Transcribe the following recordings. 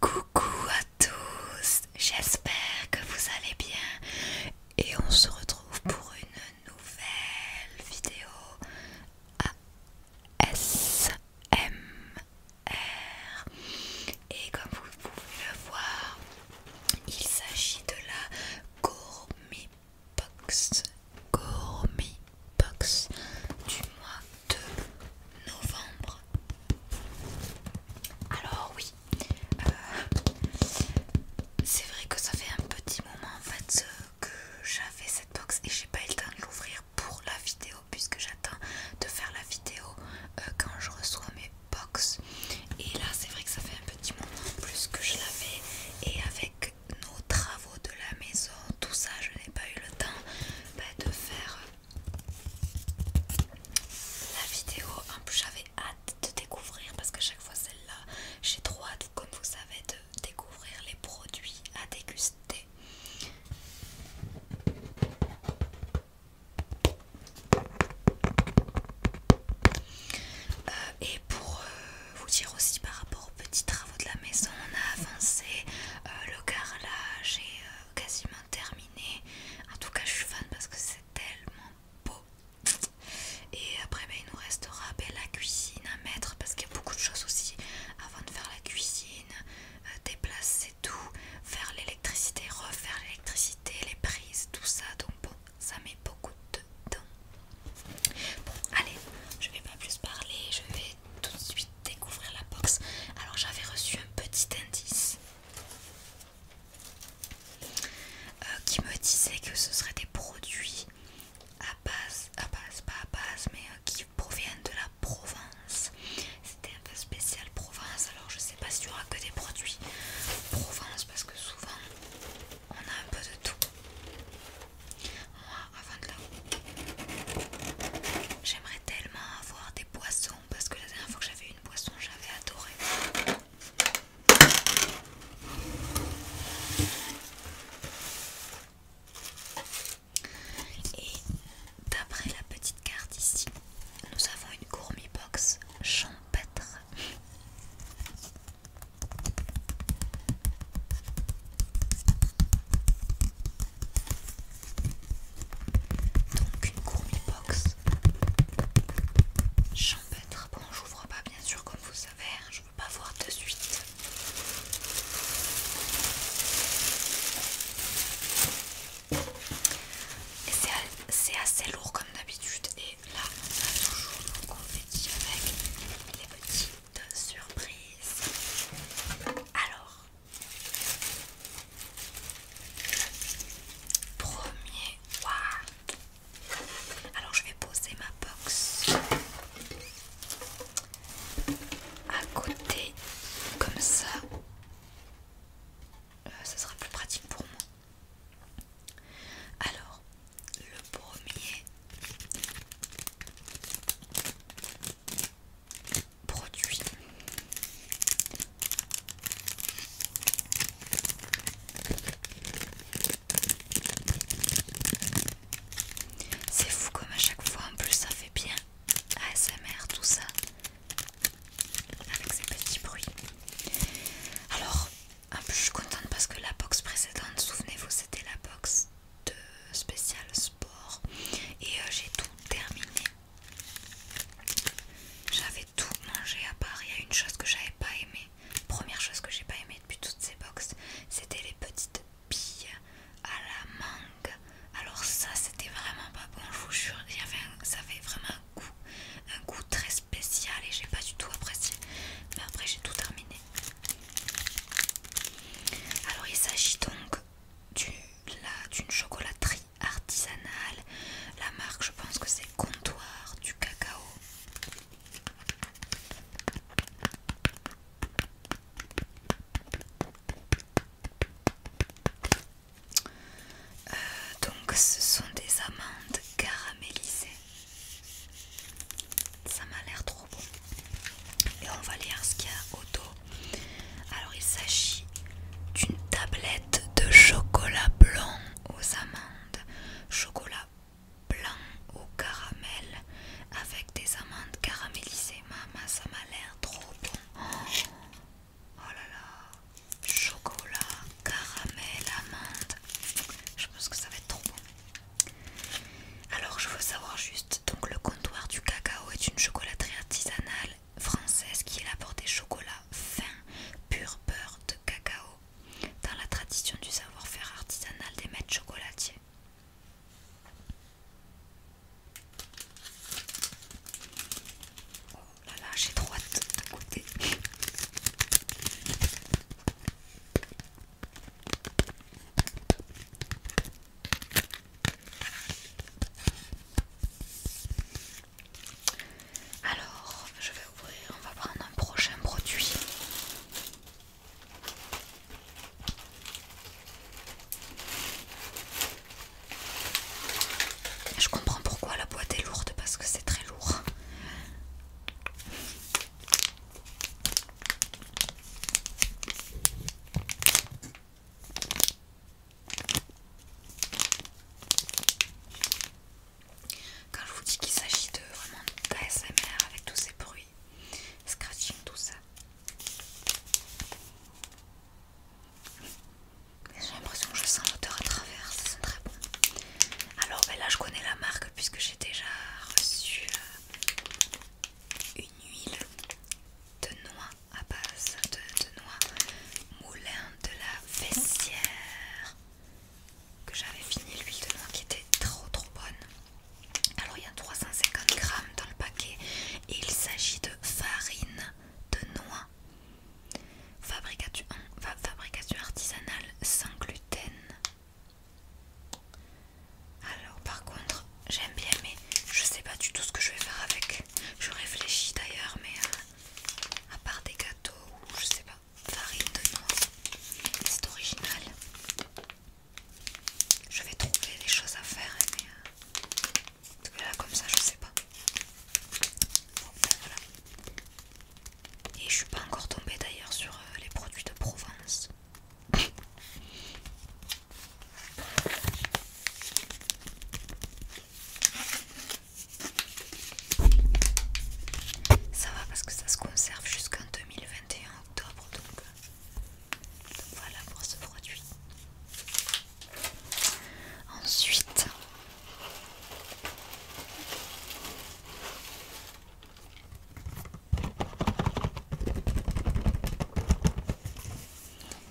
Coucou à tous, j'espère que vous allez bien et on se retrouve pour une nouvelle vidéo ASMR et comme vous pouvez le voir, il s'agit de la gourmet box, gourmet box du mois 2 novembre. Alors oui, euh, c'est vrai que ça fait un petit moment en fait euh, que j'avais cette box et j'ai pas eu le temps de l'ouvrir pour la vidéo puisque j'attends de faire la vidéo euh, quand je reçois mes box. Et là c'est vrai que ça fait un petit moment en plus que je l'avais et avec nos travaux de la maison, tout ça je n'ai pas eu le temps bah, de faire la vidéo. En plus, j'avais hâte de découvrir parce que chaque fois celle-là, j'ai trop hâte, comme vous savez, de découvrir les produits à déguster. Euh, et pour euh, vous dire aussi par rapport aux petits travaux de la maison, on a avancé euh, le carrelage et quasiment terminé. En tout cas, je suis fan parce que c'est tellement beau. Et après, ben, il nous restera ben, la cuisine à mettre parce qu'il y a beaucoup de choses aussi avant de faire la cuisine, euh, déplacer tout, faire l'électricité, refaire l'électricité, les prises, tout ça. Donc, bon, ça met beaucoup de temps. Bon, allez, je vais pas plus parler, je vais tout de suite découvrir la box. Alors j'avais reçu un petit indice euh, qui me disait que ce seraient des produits à base, à base, pas à base, mais euh, qui proviennent de la Provence. C'était un peu spécial Provence, alors je sais pas il y aura que des produits Provence parce que souvent on a un peu de tout avant J'aimerais tellement avoir des boissons parce que la dernière fois que j'avais une boisson, j'avais adoré. Et d'après la petite carte ici, nous avons une gourmet box champêtre. Donc une gourmet box champêtre. Bon, j'ouvre pas bien sûr comme vous savez, hein. je veux pas voir de suite. Et c'est assez lourd comme d'habitude et là on a toujours nos confetti avec les petites surprises. Alors Premier Alors je vais poser ma box à côté comme ça. ça euh, sera plus pratique pour moi. Alors, le premier Produit. C'est fou comme à chaque fois, en plus ça fait bien ASMR tout ça, avec ces petits bruits. Alors, en plus je suis contente parce que la box précédente, souvenez-vous, c'était la box de spécial sport et euh, j'ai tout terminé. J'avais tout mangé à part, il y a une chose que j'avais pas aimé. Première chose que j'ai pas aimé depuis toutes ces boxes, c'était les petites billes à la mangue. Alors ça c'était vraiment pas bon, je vous jure, ça avait vraiment un goût, un goût très spécial et j'ai pas du tout apprécié. Mais après j'ai tout terminé. Alors il s'agit donc d'une chocolaterie artisanale. La marque, je pense que c'est Comptoir du Cacao. Euh, donc, ce sont des amandes caramélisées. Ça m'a l'air trop et on va lire ce qu'il y a au dos. Alors il s'agit d'une tablette de chocolat blanc aux amandes, chocolat blanc au caramel avec des amandes caramélisées. Maman, ça m'a l'air trop bon. Oh, là là, chocolat, caramel, amandes, Je pense que ça va être trop bon. Alors je veux savoir juste, donc le comptoir du cacao est une chocolaterie artisanale française qui élabore des chocolats fins, pur beurre de cacao, dans la tradition du savoir-faire artisanal des maîtres chocolatiers. Oh là là, j'ai droite de alors, je vais ouvrir, on va prendre un prochain produit. Je comprends pourquoi la boîte est lourde parce que c'est très lourd. Quand je vous dis qu'il s'agit de vraiment d'ASMR avec tous ces bruits, scratching, tout ça, j'ai l'impression que je sens l'odeur à travers, ça sent très bon. Alors ben là, je connais la marque puisque j'ai déjà reçu euh, une huile de noix à base de, noix moulin de la fessière que j'avais fini l'huile de noix qui était trop trop bonne alors il y a 350 grammes dans le paquet et il s'agit de farine de noix fabrication artisanale sans gluten alors par contre j'aime bien mais je sais pas du tout ce que je vais faire avec. Je réfléchis d'ailleurs mais euh, à part des gâteaux ou je sais pas, farine de noix, c'est original. Je vais trouver les choses à faire mais euh, là comme ça je sais pas. Ben, Et je suis pas encore tombée d'ailleurs sur euh, les produits de Provence. Ça va parce que ça se conserve jusqu'en 2021 octobre euh, donc, voilà pour ce produit. Ensuite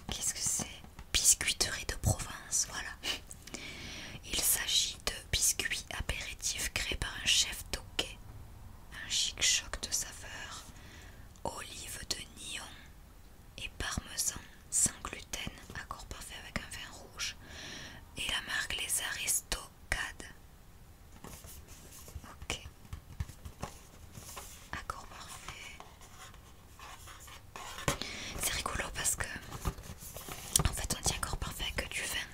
Qu'est-ce que c'est Biscuiterie de province, voilà. Il s'agit de biscuits apéritifs créés par un chef toqué. Un chic choc de saveur, olives de Nyon et parmesan sans gluten, accord parfait avec un vin rouge. Et la marque Les Aristocades Ok. Accord parfait. C'est rigolo parce que en fait on dit accord parfait que du vin.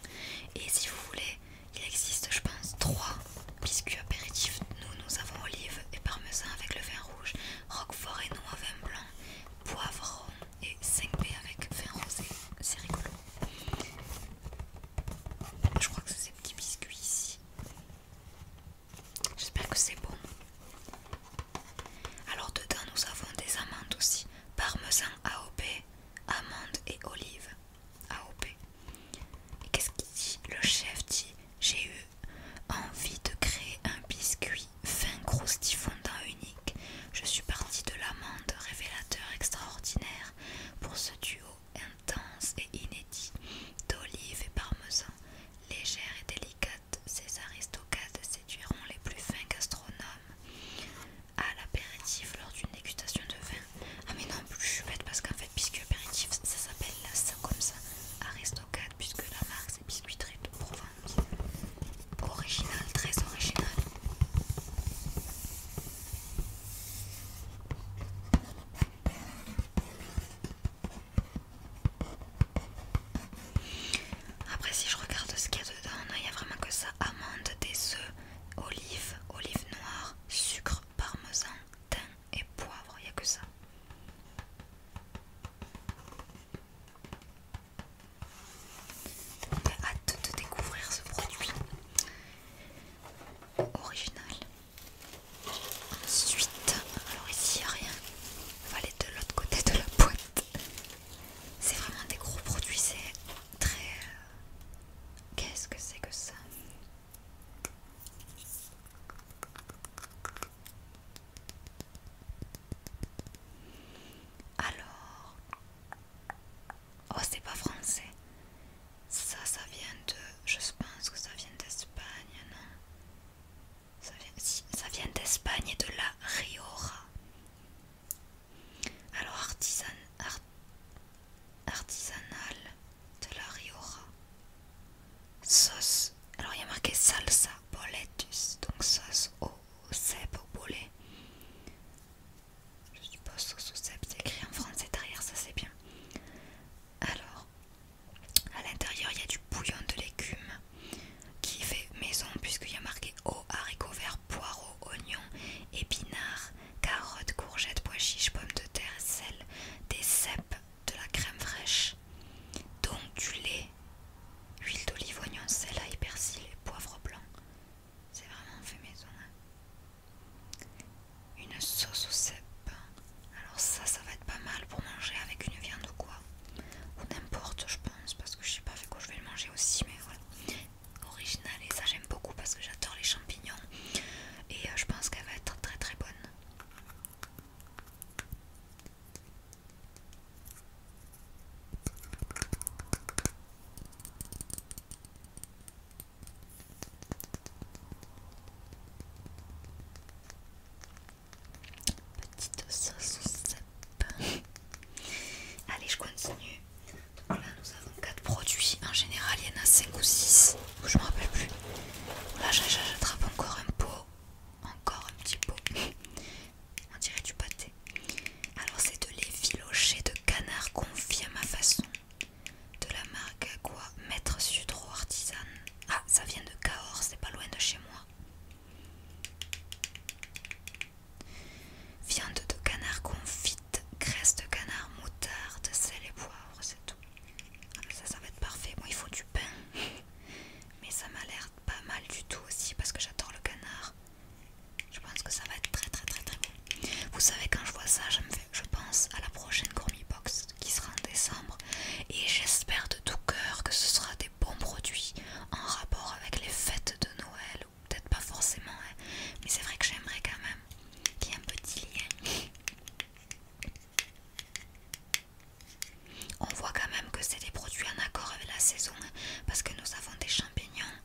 Et si vous voulez, il existe je pense 3 biscuits apéritifs. Nous nous avons olive et parmesan avec le vin rouge, roquefort et noix vin blanc, poivron et 5B avec vin rosé. C'est rigolo. Je crois que c'est ces petits biscuits ici. J'espère que c'est bon. Alors dedans nous avons des amandes aussi. Parmesan AOP, amandes et olives AOP. Et qu'est-ce qu'il dit Le chef dit j'ai eu envie de créer un biscuit fin croustifondant unique. Je suis partie de l'amande révélateur extraordinaire pour ce duo intense et inédit d'olives et parmesan, légère et délicate, ces aristocates séduiront les plus fins gastronomes à l'apéritif lors d'une dégustation de vin. Ah mais non, plus je suis bête parce qu'en fait biscuit apéritif ça s'appelle ça comme ça. aristocate puisque la marque c'est très de Provence. Original, très original. Après, si je regarde ce qu'il y a dedans, il n'y a vraiment que ça Amandes, des œufs, olives, olives noires, sucre, parmesan, thym et poivre. Il n'y a que ça. J'ai hâte de découvrir ce produit original. Ensuite, alors ici il n'y a rien, on va aller de l'autre côté de la boîte. C'est vraiment des gros produits, c'est très... Euh, qu'est-ce que c'est que ça Alors, Oh, c'est pas français. Ça, ça vient de. Je pense que ça vient d'Espagne, non ça vient, ça vient d'Espagne et de la Riora. Alors, artisanal de la Riora. Sauce. Alors, il y a marqué salsa boletus, donc sauce au, au cèpe, au bolet. Je suppose sous cèpes, c'est écrit en français derrière, ça c'est bien. Alors, à l'intérieur, il y a du bouillon de légumes qui fait maison, puisqu'il y a marqué eau, haricots verts, poireaux, oignons, épinards, carottes, courgettes, pois chiches, pommes de terre, sel, des cèpes, de la crème fraîche, donc du lait, huile d'olive, oignons, sel, ail, persil et poivre blanc. C'est vraiment fait maison. Hein. Une sauce au cèpe. Alors ça, ça va être pas mal pour manger avec une viande ou quoi. Ou n'importe, je pense, parce que je sais pas avec quoi je vais le manger aussi, mais voilà. Original et ça j'aime beaucoup parce que j'adore les champignons. Et euh, je pense qu'elle va être très très bonne. Petite sauce Allez, je continue. Donc là, nous avons 4 produits. En général, il y en a 5 ou 6. Je me rappelle plus. Là, j'attrape encore un pot. Encore un petit pot. On dirait du pâté. Alors, c'est de lait de canard confit à ma façon de la marque quoi Maître Sudro Artisan. Ah, ça vient de Cahors, c'est pas loin de chez moi. Viande de canard confite, graisse de canard, moutarde, sel et poivre, c'est tout. Ah, ça, ça va être parfait. Moi, bon, il faut du pain. Mais ça m'alerte pas mal du tout aussi parce que j'adore le canard. Je pense que ça va être très très très très beau. Vous savez quand je vois ça, je, pense à la prochaine Gourmet Box qui sera en décembre et j'espère de tout cœur que ce sera des bons produits en rapport avec les fêtes de Noël ou peut-être pas forcément, hein, mais c'est vrai que j'aimerais quand même qu'il y ait un petit lien. On voit quand même que c'est des produits en accord avec la saison hein, parce que nous avons des champignons,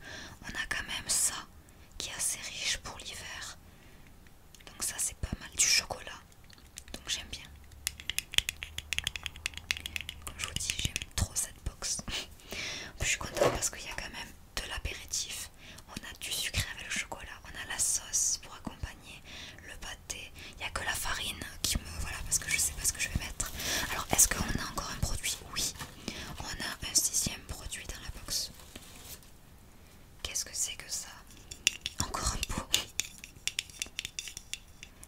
on a quand même ça qui est assez riche pour l'hiver. Donc ça c'est pas mal du chocolat. Donc j'aime bien. Comme je vous dis, j'aime trop cette box. je suis contente parce qu'il y a quand même de l'apéritif. On a du sucré avec le chocolat. On a la sauce pour accompagner le pâté. Il y a que la farine qui me... Voilà parce que je sais pas ce que je vais mettre. Alors est-ce qu'on a encore un produit Oui. On a un sixième produit dans la box. Qu'est-ce que c'est que ça Encore un pot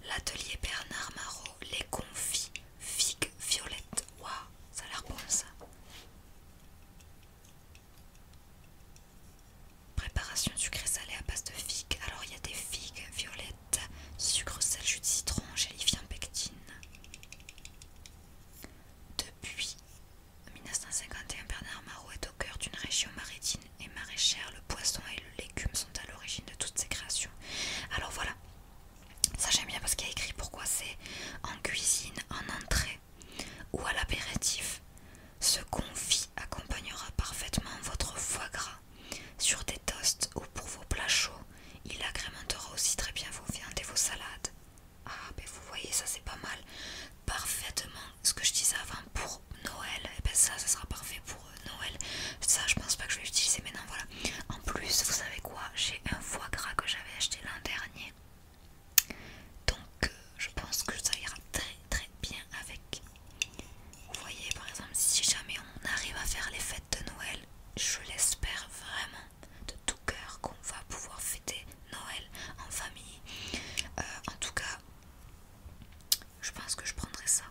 L'atelier Bernard Marot, les confits, figues violettes. Waouh, ça a l'air bon ça. Préparation sucrée salée à base de figues. Alors il y a des figues violettes, sucre, sel, jus de citron, gélifiant, pectine. Depuis 1951, Bernard Marot est au cœur d'une région maritime et maraîchère. Le poisson et le légume sont à l'origine de toutes ces créations. Alors voilà, ça j'aime bien parce qu'il y a écrit pourquoi c'est en cuisine, en entrée ou à l'apéritif. Ce confit accompagnera parfaitement votre foie gras sur des toasts ou pour vos plats chauds. Il agrémentera aussi très bien vos viandes et vos salades. Ah, ben vous voyez, ça c'est pas mal. Parfaitement ce que je disais avant pour Noël. Et eh ben ça, ça sera parfait pour euh, Noël. Ça, je pense pas que je vais l'utiliser maintenant. Voilà. En plus, vous savez quoi J'ai un foie gras que j'avais acheté l'an dernier. Donc, euh, je pense que ça ira très très bien avec. Vous voyez, par exemple, si jamais on arrive à faire les fêtes de Noël, je l'espère vraiment de tout coeur qu'on va pouvoir fêter Noël en famille. Euh, en tout cas, je pense que je prendrai ça.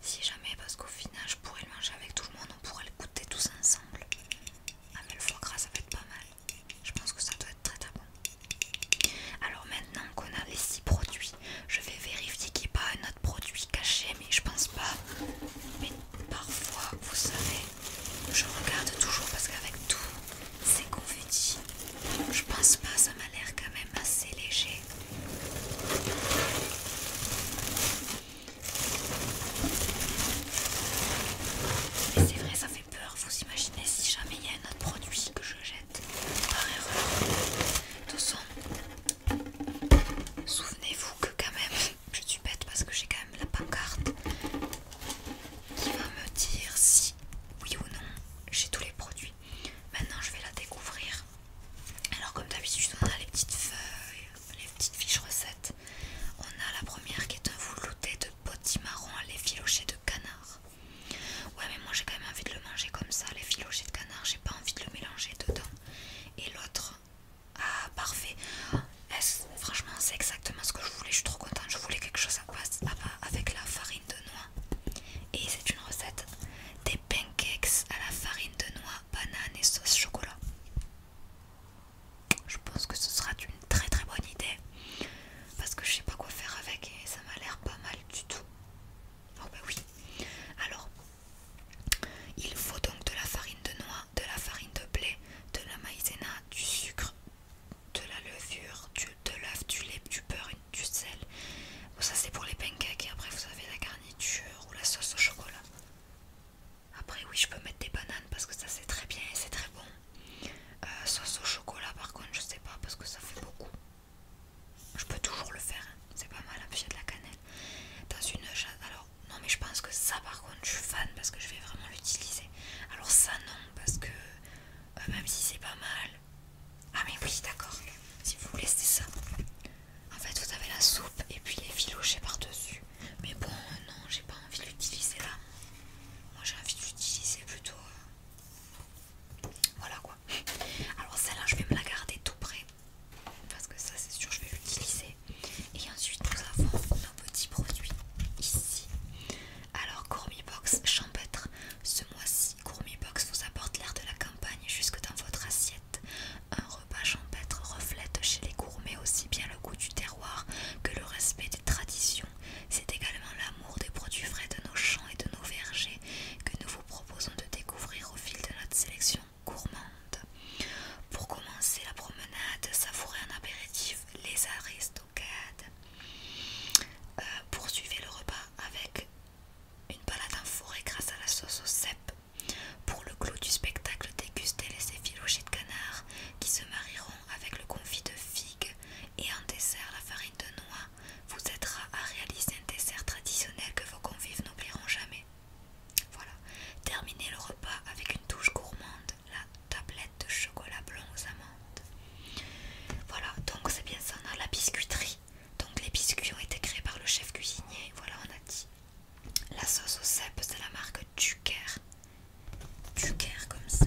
Si jamais, parce qu'au final, je pourrais le manger avec tout le monde, on pourrait le goûter tous ensemble. Ah mais le foie gras, ça va être pas mal. Je pense que ça doit être très très bon. Alors maintenant qu'on a les 6 produits, je vais vérifier qu'il n'y ait pas un autre produit caché, mais je pense pas. Mais parfois, vous savez, je regarde toujours parce qu'avec tout ces confettis, je pense pas, ça m'a l'air quand même assez léger. Mais c'est vrai, ça fait peur. Vous imaginez si jamais il y a un autre produit que je jette par erreur. De souvenez-vous que quand même, je suis bête parce que j'ai quand même la pancarte qui va me dire si oui ou non j'ai tous les produits. Maintenant je vais la découvrir. Alors comme d'habitude on a les petites feuilles, les petites fiches recettes. On a la première qui est un voulouté de potimarron à l'effiloché de canard. Ouais mais moi j'ai quand même envie de le manger comme ça, les filochés de canard, j'ai pas envie de le mélanger dedans. Et l'autre ah, parfait. Franchement, c'est exactement ce que je voulais. Je suis trop contente. Je voulais quelque chose à base avec la farine de noix. Et c'est une recette des pancakes à la farine de noix, banane et sauce chocolat. Je pense que ce sera une très très bonne idée parce que je sais pas quoi faire avec et ça m'a l'air pas mal du tout. Oh bah oui. Alors il faut donc de la farine de noix, de la farine de blé, de la maïzena, du sucre, de la levure, du, de l'oeuf, du lait, du beurre, du sel. ça c'est pour les pancakes et après vous avez la garniture ou la sauce au chocolat. Après oui je peux mettre des bananes parce que ça c'est très bien et c'est très bon. Euh, sauce au chocolat par contre je sais pas parce que ça fait beaucoup. Je peux toujours le faire, hein. c'est pas mal, un hein, de la cannelle. Dans une alors non mais je pense que ça par contre je suis fan parce que je vais vraiment l'utiliser. Alors ça non parce que euh, même si c'est pas mal. Ah mais oui d'accord, si vous voulez c'est ça. En fait vous avez la soupe et puis les filochés par-dessus. Mais bon euh, non j'ai pas envie de l'utiliser là. Moi j'ai envie de l'utiliser plutôt... Euh, voilà quoi. Alors celle-là je vais me la garder tout près parce que ça c'est sûr je vais l'utiliser et ensuite nous avons nos petits produits ici alors Gourmet Box champêtre ce mois-ci Gourmet Box vous apporte l'air de la campagne jusque dans votre assiette un repas champêtre reflète chez les gourmets aussi bien le goût du terroir que le respect des traditions c'est également l'amour des produits frais de nos champs et de nos vergers que nous vous proposons de découvrir au fil de notre sélection gourmande. Pour commencer la promenade, savourez un apéritif, les aristocades. Euh, poursuivez le repas avec une balade en forêt grâce à la sauce au cèpe. Pour le clou du spectacle, dégustez les effilochés de canard qui se marieront avec le confit de figues et en dessert la farine de noix vous aidera à réaliser un dessert traditionnel que vos convives n'oublieront jamais. Voilà. terminer le repas avec une touche gourmande, la tablette de chocolat blanc aux amandes. Voilà, donc c'est bien ça, on a la biscuiterie. Donc les biscuits ont été créés par le chef cuisinier, voilà on a dit. La sauce au cèpe, c'est la marque Duker. Duker comme ça.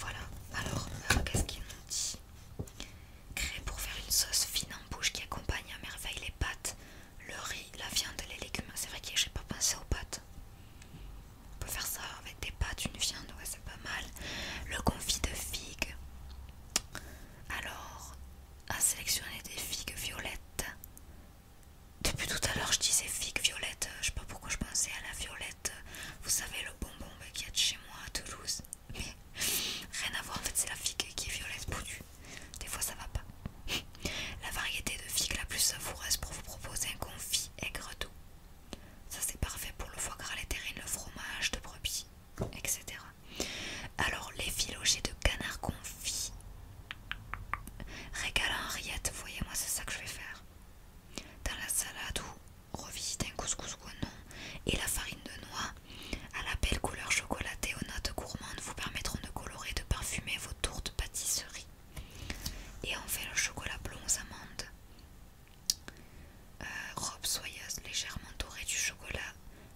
Voilà, alors qu'est-ce qu'ils nous dit Créé pour faire une sauce fine en bouche qui accompagne à merveille les pâtes le riz, la viande, les légumes. C'est vrai que j'ai pas pensé aux pâtes. On peut faire ça avec des pâtes, une viande, ouais, c'est pas mal. Le confit de figues. Alors, à sélectionner des figues violettes. Depuis tout à l'heure, je disais figues violettes. Je sais pas pourquoi je pensais à la violette. Vous savez, le bonbon qui est chez moi à Toulouse mais rien à voir en fait c'est la figue qui est violette poudue des fois ça va pas la variété de figue la plus savoureuse pour vous proposer un confit aigre doux ça c'est parfait pour le foie gras, les terrines, le fromage de brebis etc alors les filogés de canard confit Régale à Henriette voyez moi c'est ça que je vais faire dans la salade ou revisiter un couscous quoi non et la farine de noix à la belle couleur chocolatée aux notes gourmandes vous permettront de colorer et de parfumer vos tours de pâtisserie. Et on fait le chocolat blond aux amandes. Euh, robe soyeuse légèrement dorée du chocolat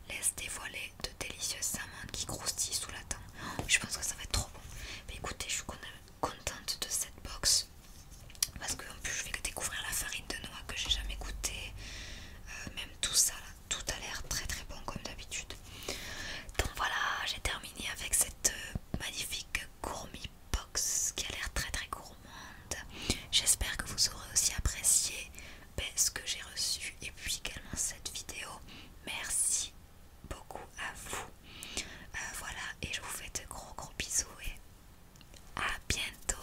laisse dévoiler de délicieuses amandes qui croustillent sous la dent. Oh, je pense que ça va être trop bon. Mais écoutez, je suis contente de cette box parce que' plus je vais découvrir la farine de noix que j'ai jamais goûtée. Euh, même tout ça là, tout a l'air très très bon comme d'habitude. Donc voilà, j'ai terminé avec cette euh, magnifique Gourmi box qui a l'air très très gourmande. J'espère que vous aurez aussi apprécié ben, ce que j'ai reçu et puis également cette vidéo. Merci beaucoup à vous. Euh, voilà, et je vous fais de gros gros bisous et à bientôt.